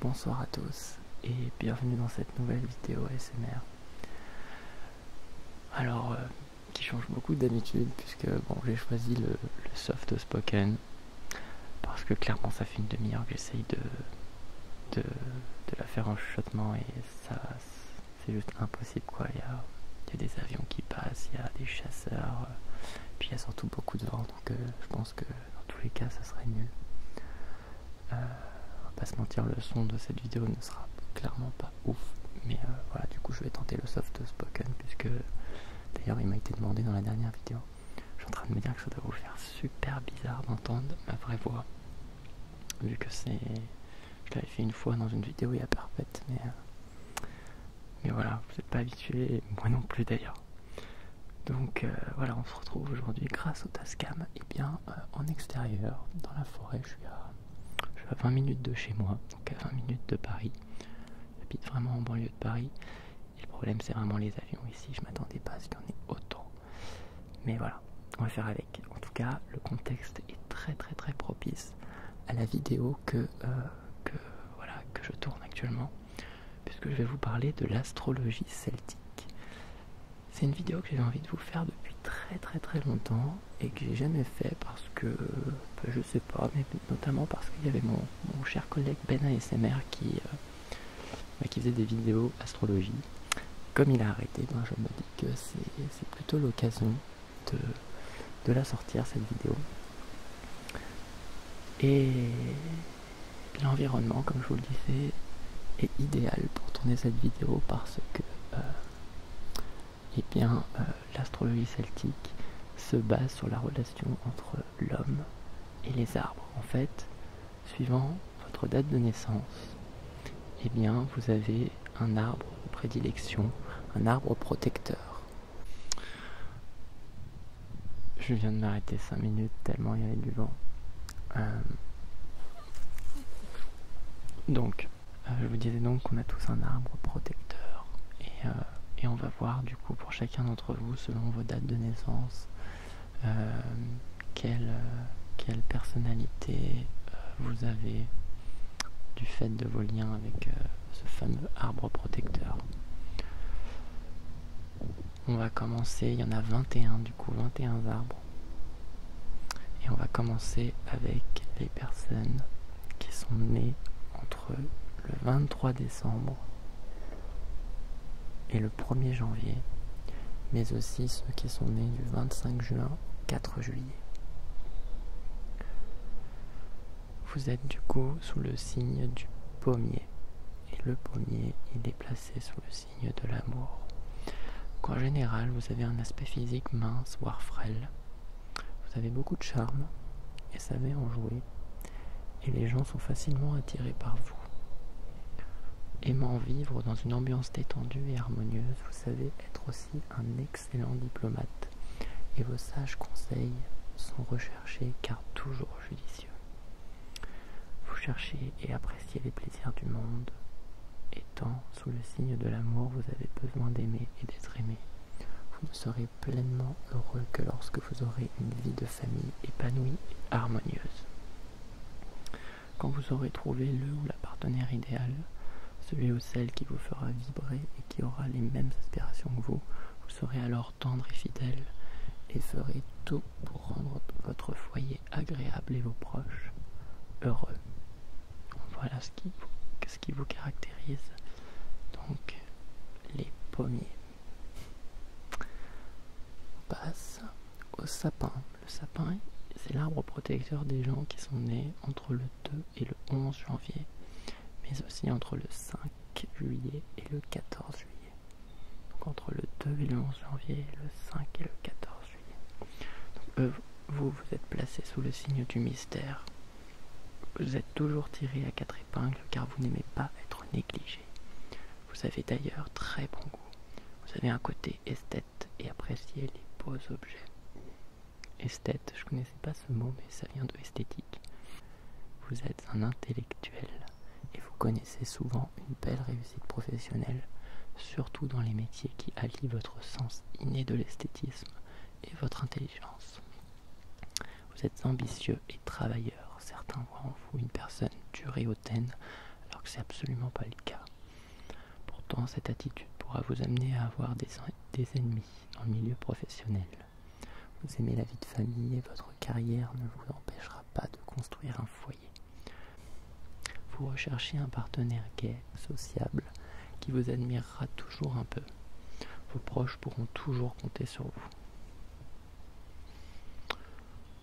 Bonsoir à tous et bienvenue dans cette nouvelle vidéo ASMR. Alors, euh, qui change beaucoup d'habitude puisque bon, j'ai choisi le, soft spoken parce que clairement ça fait une demi-heure que j'essaye de, de, la faire en chuchotement et ça c'est juste impossible quoi. Il y, a, des avions qui passent, il y a des chasseurs, euh, puis il y a surtout beaucoup de vent donc euh, je pense parce que dans tous les cas ça serait mieux. on va pas se mentir, le son de cette vidéo ne sera clairement pas ouf, mais euh, voilà, du coup je vais tenter le soft spoken puisque d'ailleurs il m'a été demandé dans la dernière vidéo. Je suis en train de me dire que ça doit vous faire super bizarre d'entendre ma vraie voix, vu que c'est, je l'avais fait une fois dans une vidéo il y a parfaite, mais euh, mais voilà, vous n'êtes pas habitué, moi non plus d'ailleurs donc euh, voilà on se retrouve aujourd'hui grâce au Tascam et eh bien euh, en extérieur dans la forêt je suis, à, 20 minutes de chez moi donc à 20 minutes de Paris j'habite vraiment en banlieue de Paris et le problème c'est vraiment les avions ici je m'attendais pas à ce qu'il y en ait autant mais voilà on va faire avec en tout cas le contexte est très très très propice à la vidéo que, euh, voilà, que je tourne actuellement puisque je vais vous parler de l'astrologie celtique. C'est une vidéo que j'ai envie de vous faire depuis très très très longtemps et que j'ai jamais fait parce que, bah, je sais pas, mais notamment parce qu'il y avait mon, cher collègue Ben ASMR qui, euh, bah, qui faisait des vidéos astrologie. Comme il a arrêté, ben, je me dis que c'est plutôt l'occasion de, de la sortir cette vidéo. Et, l'environnement, comme je vous le disais, est idéal pour tourner cette vidéo parce que euh, eh bien, euh, l'astrologie celtique se base sur la relation entre l'homme et les arbres. En fait, suivant votre date de naissance, et eh bien, vous avez un arbre de prédilection, un arbre protecteur je viens de m'arrêter 5 minutes tellement il y avait du vent. Euh, donc, euh, je vous disais donc qu'on a tous un arbre protecteur. Euh, et, on va voir du coup pour chacun d'entre vous, selon vos dates de naissance, quelle, personnalité vous avez du fait de vos liens avec ce fameux arbre protecteur. On va commencer, il y en a 21 du coup, 21 arbres. Et on va commencer avec les personnes qui sont nées entre le 23 décembre et le 1er janvier, mais aussi ceux qui sont nés du 25 juin au 4 juillet. Vous êtes du coup sous le signe du pommier. Et le pommier, est placé sous le signe de l'amour. en général, vous avez un aspect physique mince, voire frêle. Vous avez beaucoup de charme et savez en jouer. Et les gens sont facilement attirés par vous. Aimant vivre dans une ambiance détendue et harmonieuse, vous savez être aussi un excellent diplomate. Et vos sages conseils sont recherchés car toujours judicieux. Vous cherchez et appréciez les plaisirs du monde, et tant sous le signe de l'amour vous avez besoin d'aimer et d'être aimé. Vous ne serez pleinement heureux que lorsque vous aurez une vie de famille épanouie et harmonieuse. Quand vous aurez trouvé le ou la partenaire idéal, celui ou celle qui vous fera vibrer et qui aura les mêmes aspirations que vous, vous serez alors tendre et fidèle, et ferez tout pour rendre votre foyer agréable et vos proches heureux. Voilà ce qui ce qui vous caractérise. Donc, les pommiers. On passe au sapin. Le sapin, c'est l'arbre protecteur des gens qui sont nés entre le 2 et le 11 janvier, mais aussi entre le 5 juillet et le 14 juillet entre le 2 et le 11 janvier, le 5 et le 14 juillet. Euh, vous, vous êtes placé sous le signe du mystère. Vous êtes toujours tiré à quatre épingles car vous n'aimez pas être négligé. Vous avez d'ailleurs très bon goût. Vous avez un côté esthète et appréciez les beaux objets. Esthète, je connaissais pas ce mot mais ça vient de esthétique. Vous êtes un intellectuel et vous connaissez souvent une belle réussite professionnelle, surtout dans les métiers qui allient votre sens inné de l'esthétisme et votre intelligence. Vous êtes ambitieux et travailleur, certains voient en vous une personne dure et hautaine, alors que c'est absolument pas le cas. Pourtant, cette attitude pourra vous amener à avoir des, des ennemis dans le milieu professionnel. Vous aimez la vie de famille et votre carrière ne vous empêchera pas de construire un foyer. Vous recherchez un partenaire gai, sociable, qui vous admirera toujours un peu. Vos proches pourront toujours compter sur vous.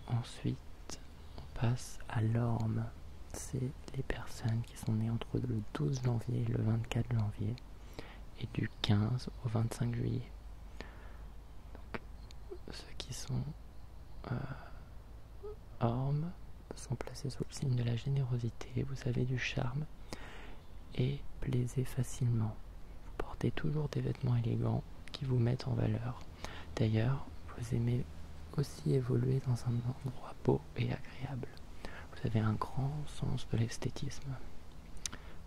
Ensuite, on passe à l'orme. C'est les personnes qui sont nées entre le 12 janvier et le 24 janvier et du 15 au 25 juillet. ceux qui sont euh, ormes sont placés sous le signe de la générosité, vous avez du charme et plaisez facilement. Vous portez toujours des vêtements élégants qui vous mettent en valeur. D'ailleurs, vous aimez aussi évoluer dans un endroit beau et agréable. Vous avez un grand sens de l'esthétisme.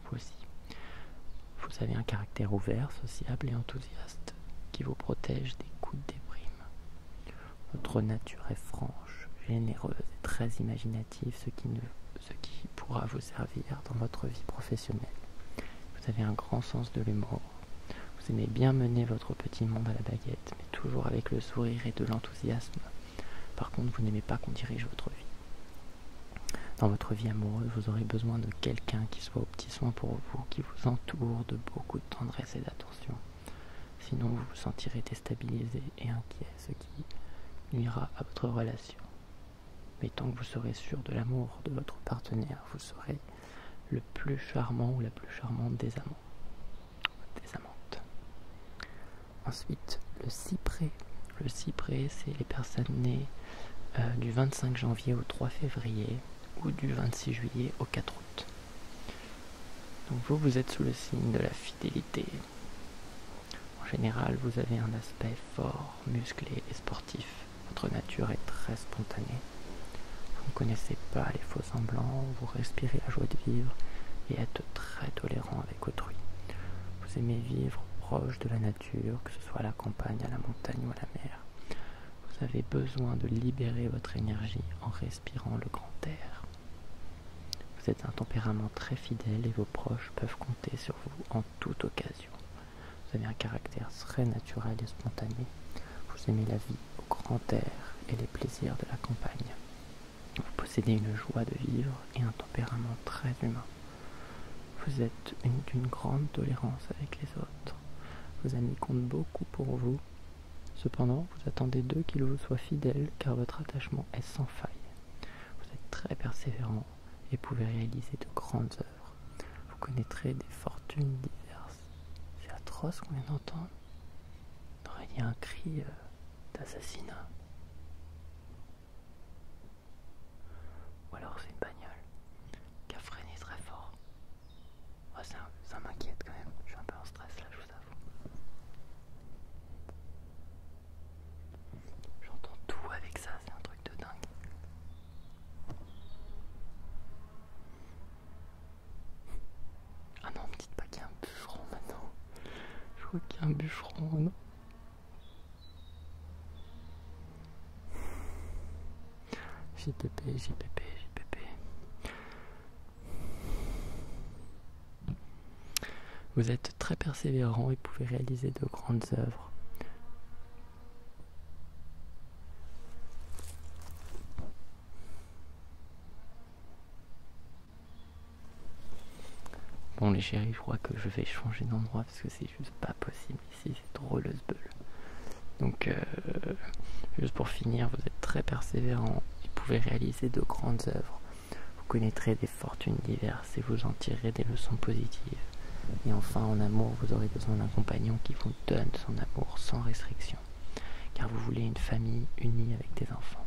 Voici. Vous avez un caractère ouvert, sociable et enthousiaste qui vous protège des coups de déprime. Votre nature est franche, généreuse et très imaginative, ce qui, ce qui pourra vous servir dans votre vie professionnelle. Vous avez un grand sens de l'humour. Vous aimez bien mener votre petit monde à la baguette, mais toujours avec le sourire et de l'enthousiasme. Par contre, vous n'aimez pas qu'on dirige votre vie. Dans votre vie amoureuse, vous aurez besoin de quelqu'un qui soit au petit soin pour vous, qui vous entoure de beaucoup de tendresse et d'attention. Sinon, vous vous sentirez déstabilisé et inquiet, ce qui nuira à votre relation. Mais tant que vous serez sûr de l'amour de votre partenaire, vous serez le plus charmant ou la plus charmante des amants. Des amantes. Ensuite, le cyprès. Le cyprès, c'est les personnes nées euh, du 25 janvier au 3 février ou du 26 juillet au 4 août. Donc vous, vous êtes sous le signe de la fidélité. En général, vous avez un aspect fort, musclé et sportif. Votre nature est très spontanée. Vous ne connaissez pas les faux semblants, vous respirez la joie de vivre et êtes très tolérant avec autrui. Vous aimez vivre proche de la nature, que ce soit à la campagne, à la montagne ou à la mer. Vous avez besoin de libérer votre énergie en respirant le grand air. Vous êtes un tempérament très fidèle et vos proches peuvent compter sur vous en toute occasion. Vous avez un caractère très naturel et spontané. Vous aimez la vie au grand air et les plaisirs de la campagne. Vous possédez une joie de vivre et un tempérament très humain. Vous êtes d'une grande tolérance avec les autres. Vos amis comptent beaucoup pour vous. Cependant, vous attendez d'eux qu'ils vous soient fidèles car votre attachement est sans faille. Vous êtes très persévérant et pouvez réaliser de grandes œuvres. Vous connaîtrez des fortunes diverses. C'est atroce qu'on vient d'entendre. Il un cri euh, d'assassinat. Ou alors c'est une bagnole qui a freiné très fort. ça, m'inquiète quand même, je suis un peu en stress là, je vous avoue. J'entends tout avec ça, c'est un truc de dingue. Ah non, me dites pas qu'il y a un bûcheron maintenant. Je crois qu'il y a un bûcheron, non JPP, JPP, JPP. Vous êtes très persévérant et pouvez réaliser de grandes œuvres. Bon les chéris, je crois que je vais changer d'endroit parce que c'est juste pas possible ici, c'est drôle le Donc euh, juste pour finir, vous êtes très persévérant, et pouvez réaliser de grandes œuvres. Vous connaîtrez des fortunes diverses et vous en tirerez des leçons positives. Et enfin, en amour, vous aurez besoin d'un compagnon qui vous donne son amour sans restriction, car vous voulez une famille unie avec des enfants.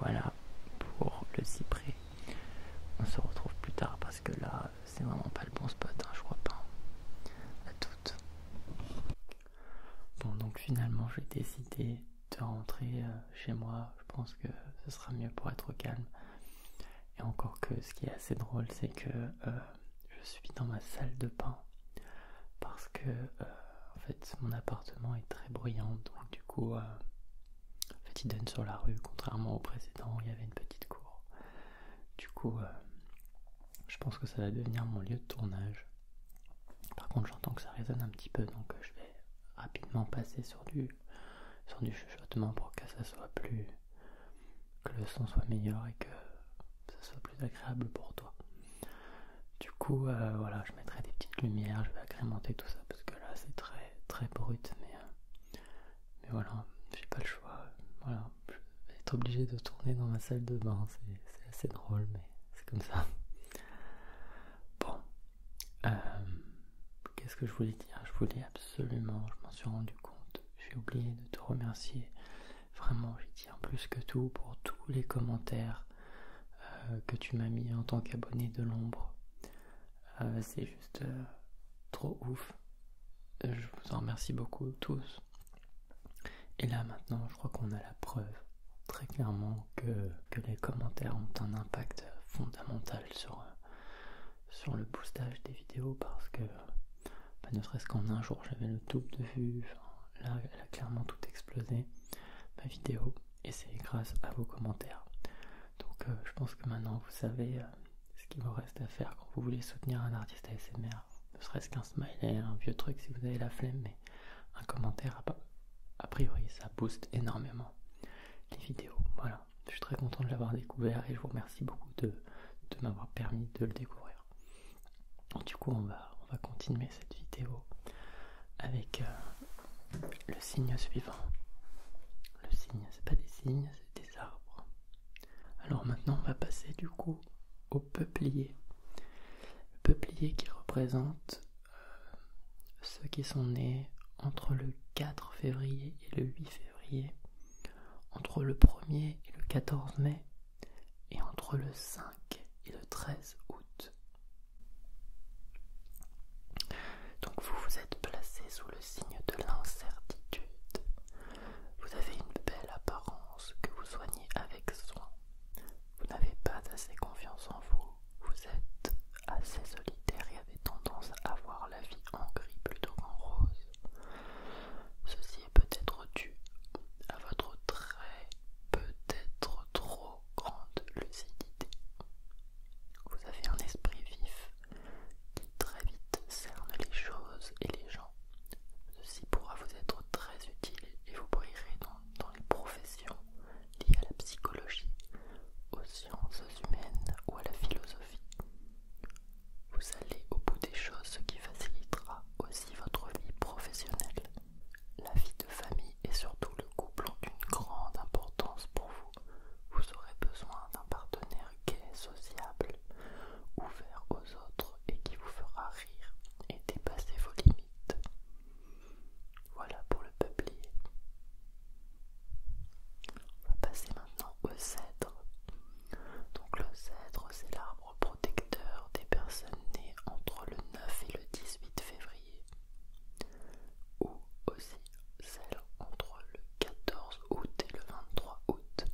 Voilà pour le cyprès. On se retrouve plus tard parce que là, c'est vraiment pas le bon spot, hein, je crois pas. Hein, à toutes. Bon, donc finalement, j'ai décidé de rentrer euh, chez moi. Je pense que ce sera mieux pour être calme. Et encore que ce qui est assez drôle, c'est que euh, je suis dans ma salle de bain parce que euh, en fait mon appartement est très bruyant, donc du coup en fait, il donne sur la rue, contrairement au précédent, il y avait une petite cour. Du coup, euh, je pense que ça va devenir mon lieu de tournage. Par contre, j'entends que ça résonne un petit peu, donc euh, je vais rapidement passer sur du, sur du chuchotement pour que ça soit plus. que le son soit meilleur et que ça soit plus agréable pour toi. Du coup, euh, voilà, je mettrai des petites lumières, je vais agrémenter tout ça parce que là c'est très très brut, mais, euh, mais voilà, j'ai pas le choix. Voilà, je vais être obligé de tourner dans ma salle de bain, c'est assez drôle, mais c'est comme ça. Bon, euh, qu'est-ce que je voulais dire Je voulais absolument, je m'en suis rendu compte, j'ai oublié de te remercier. Vraiment, j'y tiens plus que tout pour tous les commentaires euh, que tu m'as mis en tant qu'abonné de l'ombre. Euh, c'est juste euh, trop ouf. Je vous en remercie beaucoup tous. Et là maintenant, je crois qu'on a la preuve très clairement que, les commentaires ont un impact fondamental sur, le boostage des vidéos parce que bah, ne serait-ce qu'en un jour j'avais le double de vue. là elle a clairement tout explosé, ma vidéo, et c'est grâce à vos commentaires. Donc euh, je pense que maintenant vous savez euh, ce qu'il vous reste à faire quand vous voulez soutenir un artiste ASMR. Ne serait-ce qu'un smiley, un vieux truc si vous avez la flemme, mais un commentaire, a priori, ça booste énormément les vidéos. Voilà, je suis très content de l'avoir découvert et je vous remercie beaucoup de, m'avoir permis de le découvrir. Du coup, on va continuer cette vidéo avec euh, le signe suivant. Le signe, c'est pas des signes, c'est des arbres. Alors maintenant, on va passer du coup au peuplier. Le peuplier qui représente euh, ceux qui sont nés entre le 4 février et le 8 février, entre le 1er et le 14 mai, et entre le 5 et le 13 août. Donc vous vous êtes placé sous le signe de l'incertitude. Vous avez une belle apparence que vous soignez avec soin. Vous n'avez pas assez confiance en vous. Vous êtes assez solitaire et avez tendance à voir la vie en gris plutôt qu'en rose. Ceci est peut-être dû à votre très peut-être trop grande lucidité. Vous avez un esprit vif qui très vite cerne les choses et les gens. Ceci pourra vous être très utile et vous brillerez dans les professions liées à la psychologie, aux sciences humaines ou à la philosophie. Vous allez au bout des choses, ce qui facilitera aussi votre vie professionnelle. La vie de famille et surtout le couple ont une grande importance pour vous. Vous aurez besoin d'un partenaire gai, sociable, ouvert aux autres et qui vous fera rire et dépasser vos limites. Voilà pour le peuplier. On va passer maintenant au cèdre. Donc le cèdre, c'est l'arbre protecteur des personnes nées entre le 9 et le 18 février ou aussi celle entre le 14 août et le 23 août.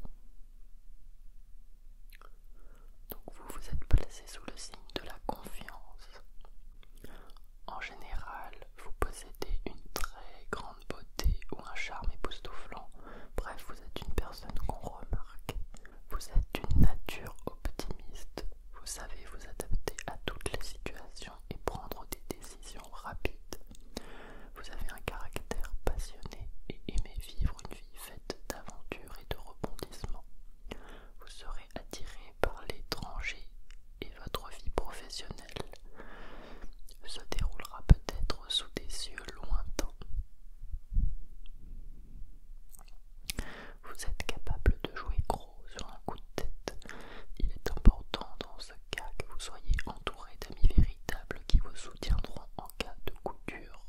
Donc vous vous êtes placé sous le signe de la confiance. En général, vous possédez une très grande beauté ou un charme époustouflant. Bref, vous êtes une personne qu'on remarque. Vous êtes d'une nature optimiste vous savez vous adapter à toutes les situations et prendre des décisions rapides. Vous avez un caractère passionné et aimez vivre une vie faite d'aventures et de rebondissements. Vous serez attiré par l'étranger et votre vie professionnelle se déroulera peut-être sous des cieux lointains vous êtes capable de jouer gros sur un coup de tête. Il est important dans ce cas que vous soyez entouré d'amis véritables qui vous soutiendront en cas de coup dur.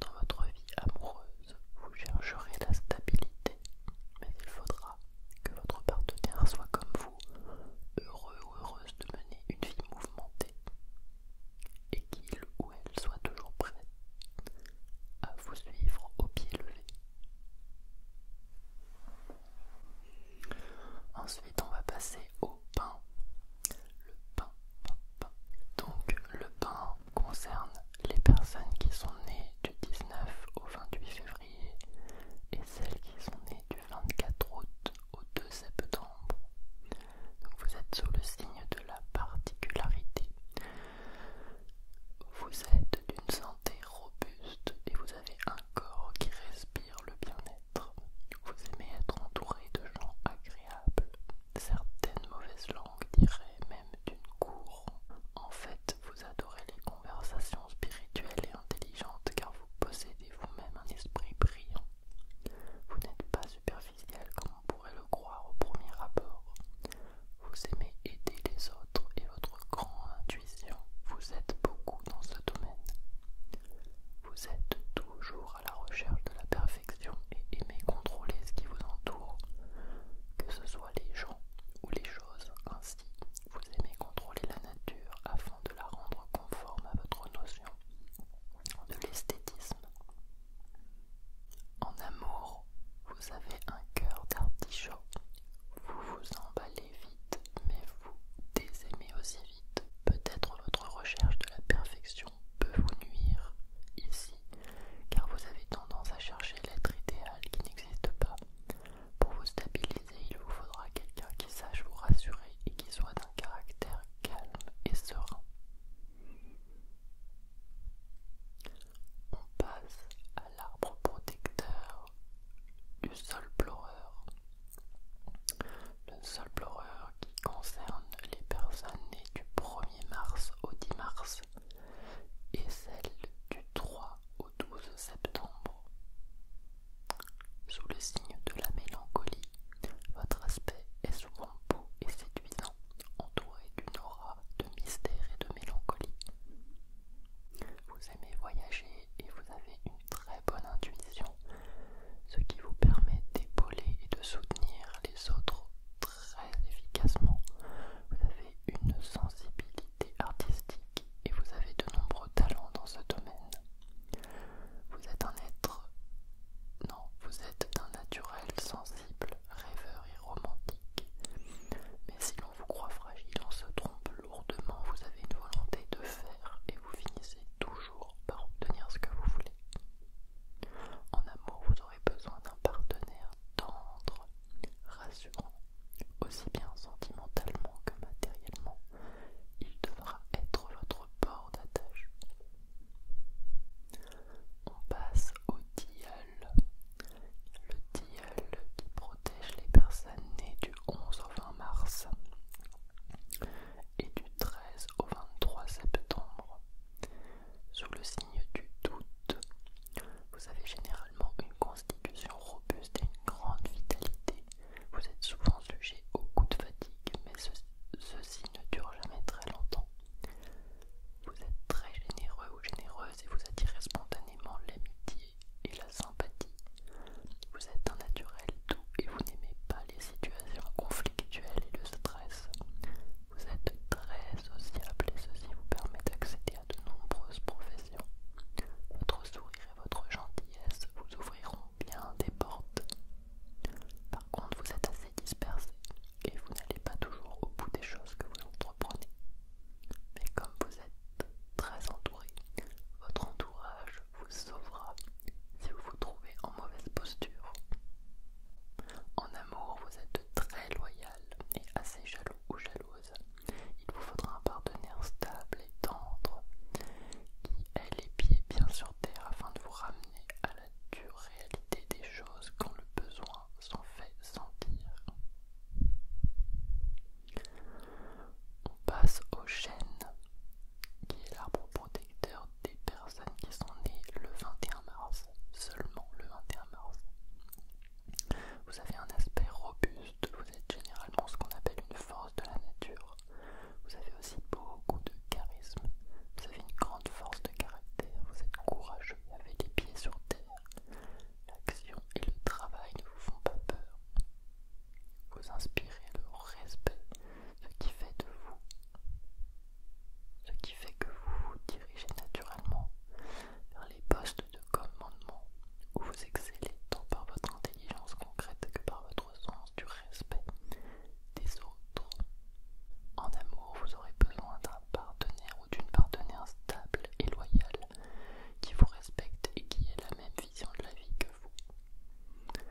Dans votre vie amoureuse, vous chercherez la stabilité, mais il faudra que votre partenaire soit comme vous, heureux ou heureuse de mener une vie mouvementée, et qu'il ou elle soit toujours prêt à vous suivre au pied levé. Ensuite, on va passer au pain. Le pain, pain. Donc, le pain concerne les personnes qui sont nées du 19 au 28 février et celles qui sont nées du 24 août au 2 septembre. Donc, vous êtes sous le signe de la particularité. Vous êtes d'une santé robuste et vous avez un corps qui respire le bien-être. Vous aimez être entouré de gens agréables. Certaines mauvaises langues diraient même d'une cour. En fait, vous adorez les conversations spirituelles et intelligentes car vous possédez vous-même un esprit brillant. Vous n'êtes pas superficiel comme on pourrait le croire au premier rapport. Vous aimez aider les autres et votre grande intuition vous aide beaucoup dans ce domaine. Vous êtes toujours à la recherche de la perfection et aimez contrôler ce qui vous entoure, que ce soit les gens ou les choses. Ainsi, vous aimez contrôler la nature afin de la rendre conforme à votre notion de l'esthétisme. En amour, vous avez un cœur d'artichaut. Vous vous emballez vite, mais vous désaimez aussi vite. Peut-être votre recherche de la perfection peut vous nuire ici, car vous avez tendance à chercher l'être idéal qui n'existe pas. Pour vous stabiliser, il vous faudra quelqu'un qui sache vous rassurer et qui soit d'un caractère calme et serein. On passe à l'arbre protecteur du sol pleureur. Le sol pleureur qui concerne les personnes nées du 1er mars au 10 mars et celles du 3 au 12 septembre. Sous le signe de la mélancolie, votre aspect est souvent beau et séduisant entouré d'une aura de mystère et de mélancolie. Vous aimez voyager et vous avez une très bonne intuition, ce qui vous permet d'épauler et de soutenir les autres très efficacement. Vous avez une sensibilité artistique et vous avez de nombreux talents dans ce domaine. Vous êtes un être... Non, vous êtes un naturel sensible rêveur et romantique. Mais si l'on vous croit fragile, on se trompe lourdement, vous avez une volonté de faire et vous finissez toujours par obtenir ce que vous voulez. En amour, vous aurez besoin d'un partenaire tendre, rassurant, aussi bien sentimentalement que matériellement. Il devra être votre port d'attache on passe au DIAL. Le DIAL qui protège les personnes nées du 11 au 20 mars et du 13 au 23 septembre. Sous le signe du doute, vous avez généralement une constitution robuste et une grande vitalité. Vous êtes souvent sujet aux coups de fatigue, mais ceci ne dure jamais très longtemps. Vous êtes très généreux ou généreuse et vous attirez spontanément l'amitié et la sympathie. Vous êtes un naturel doux et vous n'aimez pas les situations conflictuelles et le stress. Vous êtes très sociable et ceci vous permet d'accéder à de nombreuses professions. Votre sourire et votre gentillesse vous ouvriront bien des portes. Par contre, vous êtes assez dispersé et vous n'allez pas toujours au bout des choses que vous entreprenez. Mais comme vous êtes très entouré, votre entourage vous sauvera si vous vous trouvez en mauvaise posture. En amour, vous êtes très loyal et assez jaloux ou jalouse. Il vous faudra un partenaire stable et tendre qui ait les pieds bien sur terre afin de vous ramener à la la dure réalité des choses quand le besoin s'en fait sentir. On passe au chêne, qui est l'arbre protecteur des personnes qui sont nées le 21 mars, seulement le 21 mars. Vous avez un aspect robuste, vous êtes généralement ce qu'on appelle une force de la nature. Vous avez aussi beaucoup de charisme, vous avez une grande force caractère, vous êtes courageux, avez les pieds sur terre. L'action et le travail ne vous font pas peur. Vous inspirez le respect, ce qui fait de vous, ce qui fait que vous vous dirigez naturellement vers les postes de commandement où vous excellez tant par votre intelligence concrète que par votre sens du respect des autres. En amour, vous aurez besoin d'un partenaire ou d'une partenaire stable et loyale qui vous respecte et qui ait la même vision de la vie que vous.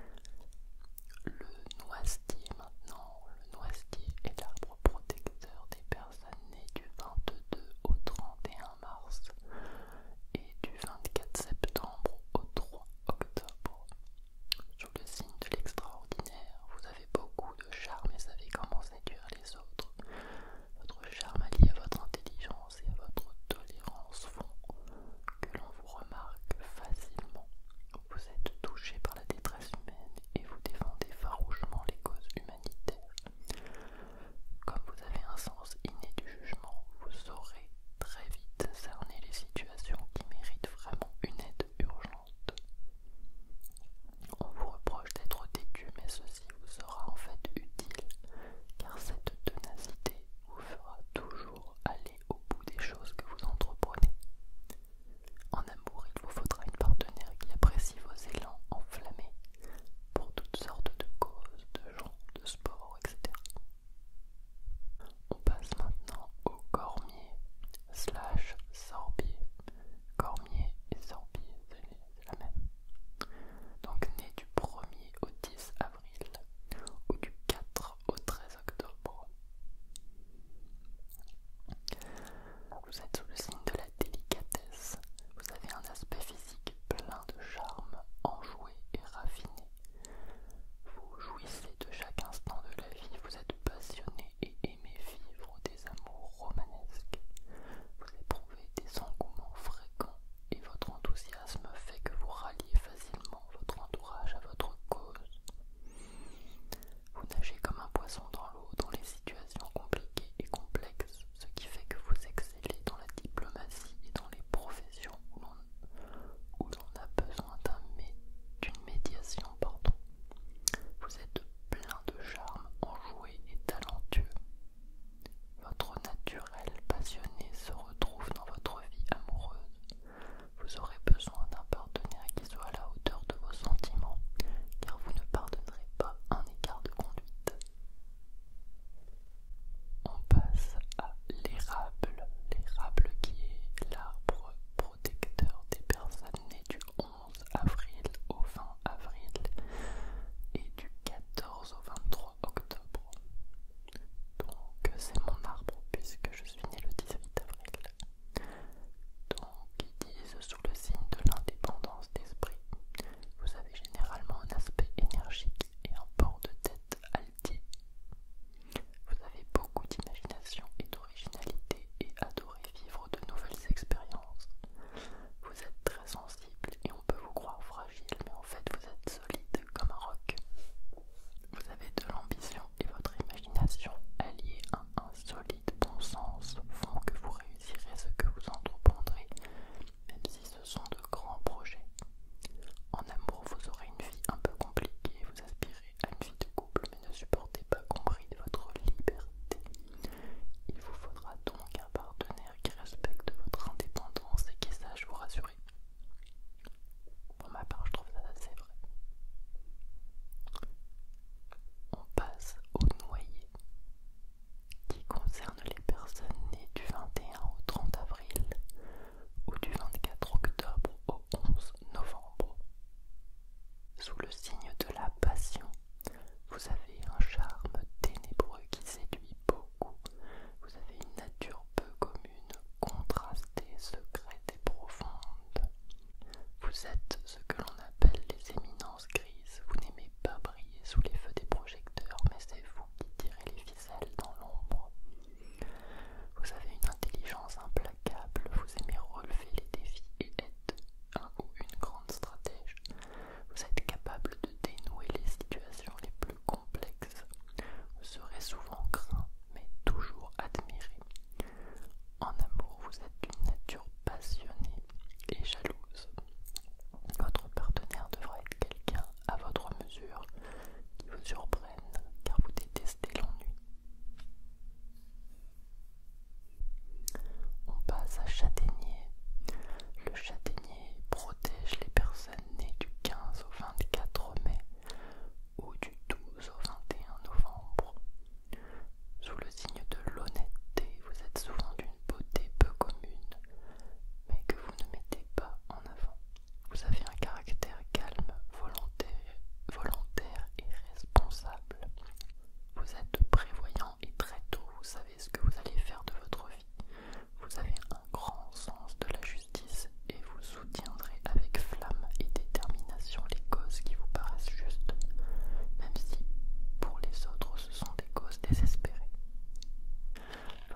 Le noisetier maintenant, le noisetier est l'arbre protecteur des personnes nées du 22 au 31 mars et du 24 septembre au 3 octobre. Sous le signe de l'extraordinaire, vous avez beaucoup de charme et savez comment séduire les autres. Votre charme allié à votre intelligence et à votre tolérance font que l'on vous remarque facilement. Vous êtes touché par la détresse humaine et vous défendez farouchement les causes humanitaires. Comme vous avez un sens inné du jugement, vous saurez très vite cerner les situations qui méritent vraiment une aide urgente. On vous reproche d'être têtu, mais ceci vous sera en fait utile, car cette tenacité vous fera toujours aller au bout des choses que vous entreprenez. En amour, il vous faudra une partenaire qui apprécie vos élans enflammés pour toutes sortes de causes, de gens, de sport, etc. On passe maintenant au cormier, slash Sorbier. Cormier et Sorbier, c'est la même. Donc né du 1er au 10 avril ou du 4 au 13 octobre. Vous êtes sous le signe de la délicatesse. Vous avez un aspect physique plein de charme, enjoué et raffiné. Vous jouissez de chaque instant de la vie, vous êtes passionné et aimer vivre des amours romanesques, vous éprouvez des engouements fréquents et votre enthousiasme fait que vous ralliez facilement votre entourage à votre cause. Vous nagez comme un poisson dans l'eau dans les situations compliquées et complexes, ce qui fait que vous excellez dans la diplomatie et dans les professions où l'on a besoin d'une médiation. Pardon. Vous êtes plein de charme, enjoué et talentueux. Votre naturel passionné se retrouve dans votre vie amoureuse. Vous aurez besoin d'un partenaire qui soit à la hauteur de vos sentiments, car vous ne pardonnerez pas un écart de conduite. On passe à l'érable, l'érable qui est l'arbre protecteur des personnes nées du 11 avril au 20 avril et du 14 au 23 octobre. Donc c'est mon arbre puisque je suis né le 18 avril. Donc ils disent sous le signe de l'indépendance d'esprit. Vous avez généralement un aspect énergique et un port de tête altier. Vous avez beaucoup d'imagination et d'originalité et adorez vivre de nouvelles expériences. Vous êtes très sensible et on peut vous croire fragile, mais en fait vous êtes solide comme un roc. Vous avez de l'ambition et votre imagination alliée à un solide bon sens font que vous réussirez ce que vous entreprendrez, même si ce sont de grands projets. En amour, vous aurez une vie un peu compliquée, vous aspirez à une de couple mais ne supportez pas qu'on bride votre liberté. Il vous faudra donc un partenaire qui respecte votre indépendance et qui sache vous rassurer. Pour ma part, je trouve ça assez vrai. On passe au noyer, qui concerne les personnes nées du 21 au 30 avril ou du 24 octobre au 11 novembre. Sous le signe de la passion, vous avez un charme ténébreux qui séduit beaucoup. Vous avez une nature peu commune, contrastée, secrète et profonde. Vous êtes ce que l'on appelle les éminences grises. Vous n'aimez pas briller sous les feux des projecteurs, mais c'est vous qui tirez les ficelles dans l'ombre. Vous avez une intelligence implacable, vous aimez relever les défis et être un ou une grande stratège. Vous êtes capable de dénouer les situations les plus complexes. Vous serez souvent craint, mais toujours admiré. En amour, vous êtes d'une nature passionnée et jalouse. Votre partenaire devra être quelqu'un à votre mesure qui vous surprenne car vous détestez l'ennui on passe à châtaignier. Le châtaignier protège les personnes nées du 15 au 24 mai ou du 12 au 21 novembre. Sous le signe de l'honnêteté, vous êtes souvent d'une beauté peu commune, mais que vous ne mettez pas en avant. Vous avez un caractère calme, volontaire volontaire, et responsable. Vous êtes prévoyant et très tôt vous savez ce que vous allez faire de votre vie. Vous avez un grand sens de la justice et vous soutiendrez avec flamme et détermination les causes qui vous paraissent justes, même si pour les autres ce sont des causes désespérées.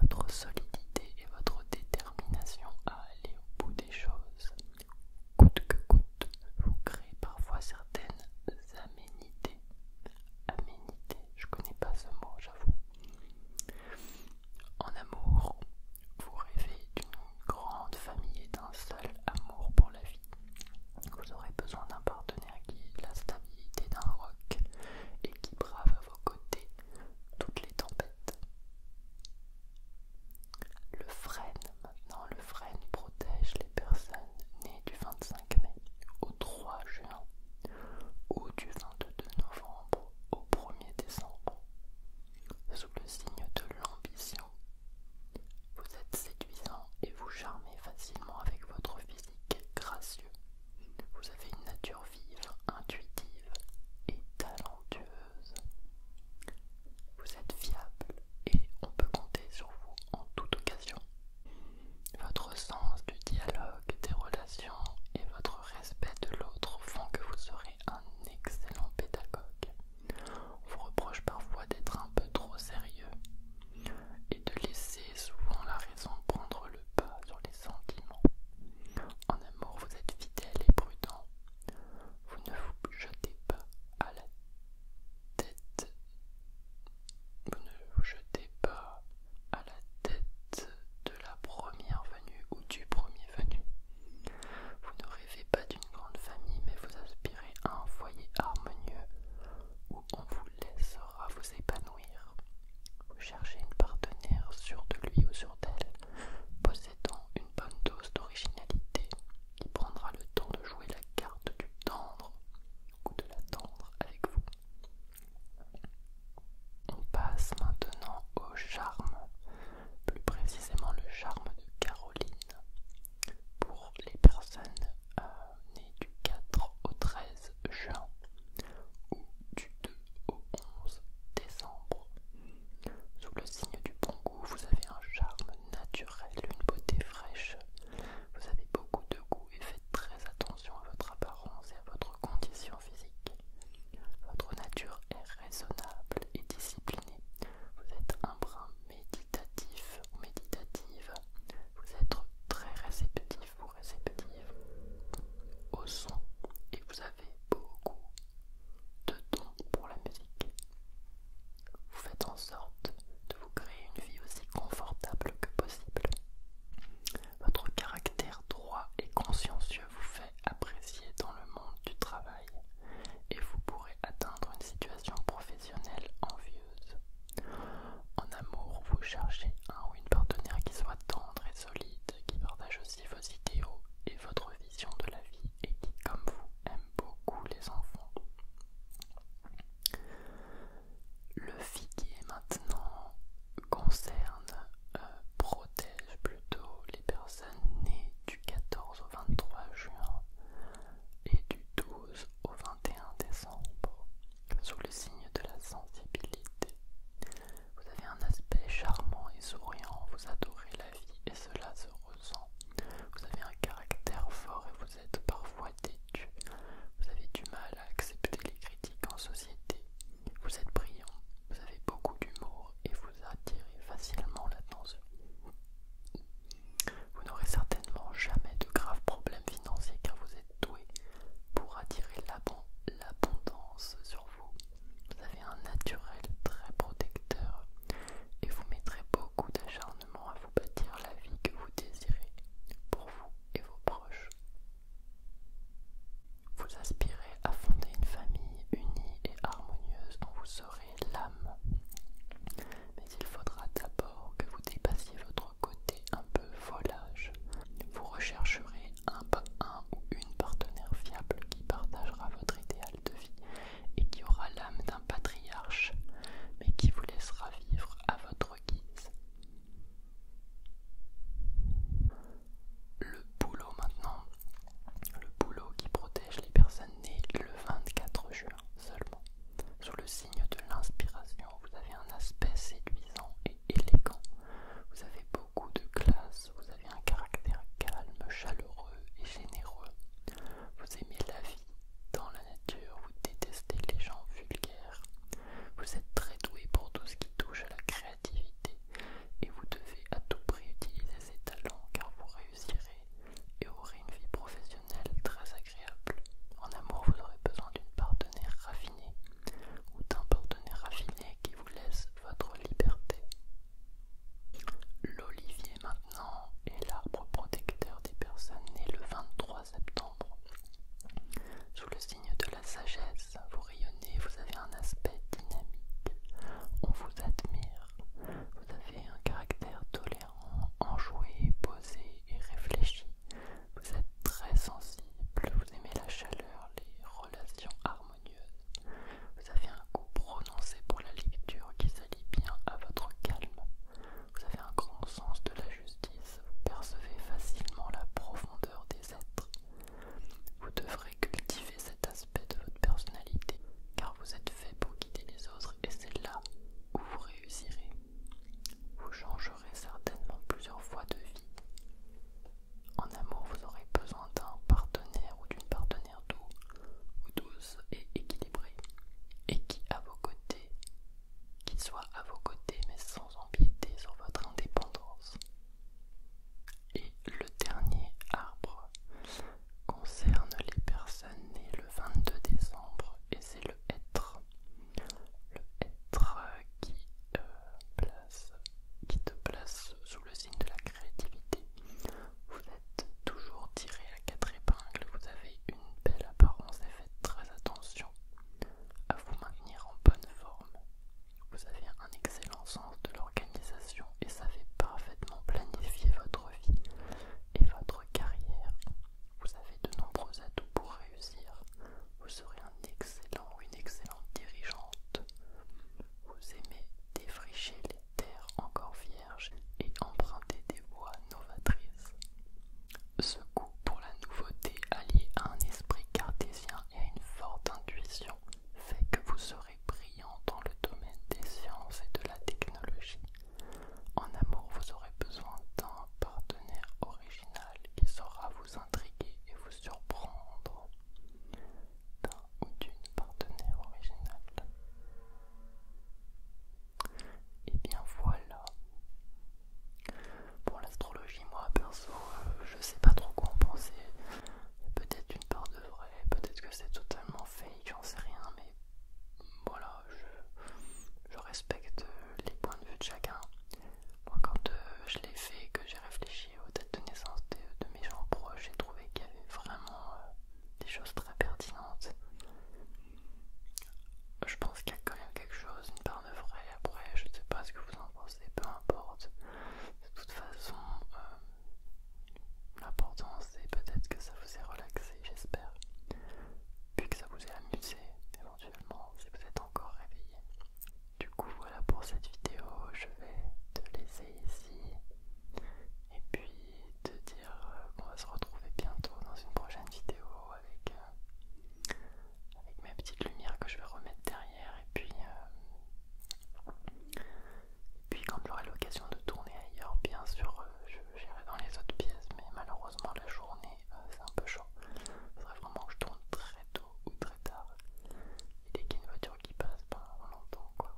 Votre solidité et votre détermination à aller au bout des choses coûte que coûte, vous créez parfois certaines aménités. Aménités, je connais pas ce mot, j'avoue. En amour, vous rêvez d'une grande famille et d'un seul amour pour la vie. Vous aurez besoin d'un partenaire qui ait la stabilité d'un roc et qui brave à vos côtés toutes les tempêtes. Le frêne, maintenant, le frêne protège les personnes nées du 25 mai au 3 juin ou du 22 novembre au 1er décembre. Sous le signe de l'ambition, vous êtes séduisant et vous charmez facilement avec votre physique gracieux. Vous avez une nature vive, intuitive et talentueuse. Vous êtes fiable et on peut compter sur vous en toute occasion. Votre sens du dialogue, des relations et votre respect de l'autre font que vous serez un excellent pédagogue. vous reproche parfois d'être un peu trop sérieux et de laisser souvent la raison prendre le pas sur les sentiments. En amour, vous êtes fidèle et prudent vous ne vous jetez pas à la tête. Vous ne vous jetez pas à la tête de la première venue ou du premier venu. Vous ne rêvez pas d'une grande famille, mais vous aspirez à un foyer harmonieux où on vous laissera vous épanouir. Vous cherchez une partenaire sûre de lui ou sûre d'elle, une bonne dose d'originalité, qui prendra le temps de jouer la carte du tendre ou de la tendre avec vous. On passe maintenant au charme, plus précisément le charme de Caroline, pour les personnes euh, nées du 4 au 13 juin ou du 2 au 11 décembre. Sous le signe du bon goût, vous avez un charme naturel, une beauté fraîche. Vous avez beaucoup de goût et faites très attention à votre apparence et à votre condition physique. Votre nature est raisonnable et disciplinée. Vous êtes un brin méditatif ou méditative. Vous êtes très réceptif ou réceptive au son et vous avez beaucoup de dons pour la musique. Vous faites en sorte de vous créer une vie aussi confortable que possible. Votre caractère droit et consciencieux vous fait apprécier dans le monde du travail et vous pourrez atteindre une situation professionnelle envieuse. En amour, vous cherchez un ou une partenaire qui soit tendre et solide, qui partage aussi vos idéaux et votre de la vie et qui, comme vous, aime beaucoup les enfants. Le figuier maintenant concerne, euh, protège plutôt les personnes nées du 14 au 23 juin et du 12 au 21 décembre sous le signe de la sensibilité. Vous avez un aspect charmant et souriant, vous adorez la vie et cela se ressent. Vous avez un caractère fort et vous êtes parfois têtu. Vous avez du mal à accepter les critiques en société. Vous êtes brillant, vous avez beaucoup d'humour et vous attirez facilement l'attention. Vous n'aurez certainement jamais de graves problèmes financiers car vous êtes doué pour attirer l'abondance sur vous vous. avez un naturel très protecteur et vous mettrez beaucoup d'acharnement à vous bâtir la vie que vous désirez pour vous et vos proches. Vous aspirez à fonder une famille unie et harmonieuse dont vous serez l'âme. Mais il faudra d'abord que vous dépassiez votre côté un peu volage. Vous rechercherez un, un ou une partenaire fiable qui partagera votre idéal de vie et qui aura l'âme d'un patriarche, mais qui vous laissera vivre à votre guise. Le boulot maintenant. Le boulot qui protège les personnes nées le 24 juin seulement. Sous le signe de l'inspiration, vous avez un aspect séduisant et élégant. Vous avez goût de classe, vous avez un caractère calme, chaleureux et généreux. Vous aimez la vie dans la nature, vous détestez les gens vulgaires. Vous êtes très doué pour tout ce qui touche à la créativité et vous devez à tout prix utiliser ces talents car vous réussirez et aurez une vie professionnelle très agréable. En amour, vous aurez besoin d'une partenaire raffinée ou d'un partenaire raffiné qui vous laisse votre liberté. L'olivier maintenant est l'arbre protecteur des personnes nées le 23 septembre. Sous le signe de la sagesse, vous rayonnez, vous avez un aspect dynamique, on vous admire, vous avez un caractère tolérant, enjoué, posé et réfléchi, vous êtes très sensible, vous aimez la chaleur, les relations harmonieuses. Vous avez un goût prononcé pour la lecture qui s'allie bien à votre calme. Vous avez un grand sens de la justice, vous percevez facilement la profondeur des êtres. Vous devrez cultiver cet aspect de votre personnalité, car vous êtes fait pour guider les autres et c'est là où vous réussirez. Vous changerez certainement plusieurs fois de vie. En amour, vous aurez besoin d'un partenaire ou d'une partenaire doux ou douce et équilibrée et qui à vos côtés, qui soit à vos côtés mais sans empiéter sur votre indépendance. Et le dernier arbre concerne les personnes nées le 22 décembre et c'est le être. Le être qui euh, qui te place sous le signe de la créativité. Vous êtes toujours tiré à quatre épingles, vous avez une belle apparence et faites très attention à vous maintenir en bonne forme. Vous avez un excellent sens de l'organisation et savez parfaitement planifier votre vie et votre carrière. Vous avez de nombreux atouts pour réussir. Vous serez un excellent ou une excellente dirigeante vous aimez défricher les terres encore vierges et emprunter des voies novatrices. Ce goût pour la nouveauté allié à un esprit cartésien et à une forte intuition fait que vous serez brillant dans le domaine des sciences et de la technologie. En amour, vous aurez besoin d'un partenaire original qui saura vous intriguer et vous surprendre d'une partenaire originale. Et eh bien voilà. Pour l'astrologie, moi perso, euh, je sais pas trop quoi en penser. Peut-être une part de vrai, peut-être que c'est totalement fake, j'en sais rien, mais voilà, je, respecte les points de vue de chacun. quand euh, je l'ai fait, que j'ai réfléchi aux dates de naissance de, mes gens proches, j'ai trouvé qu'il y avait vraiment euh, des choses très pertinentes. Je pense qu'il y a quand même quelque chose, une part de vrai. Après, je ne sais pas ce que vous en pensez, peu importe. De toute façon, euh, l'important c'est peut-être que ça vous ait relaxé, j'espère. Puis que ça vous ait amusé, éventuellement, si vous êtes encore réveillé. Du coup voilà pour cette vidéo, je vais te laisser ici et puis te dire euh, qu'on va se retrouver bientôt dans une prochaine vidéo avec, euh, avec ma petite lumière que je vais remettre derrière et puis, euh, puis quand j'aurai l'occasion de tourner ailleurs bien sûr je j'irai dans les autres pièces mais malheureusement la journée c'est un peu chaud. Il faudrait vraiment que je tourne très tôt ou très tard. Et dès qu'il y a une voiture qui passe, pendant longtemps quoi.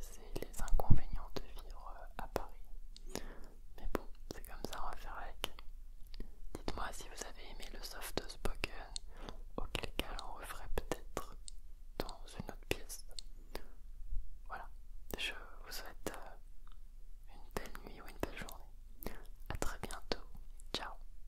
C'est les inconvénients de vivre euh, à Paris. Mais bon, c'est comme ça, on va faire avec. Dites-moi si vous avez aimé le soft spoken, auquel cas on referait peut-être dans une autre pièce. Voilà, je vous souhaite euh, une belle nuit ou une belle journée. à très bientôt, ciao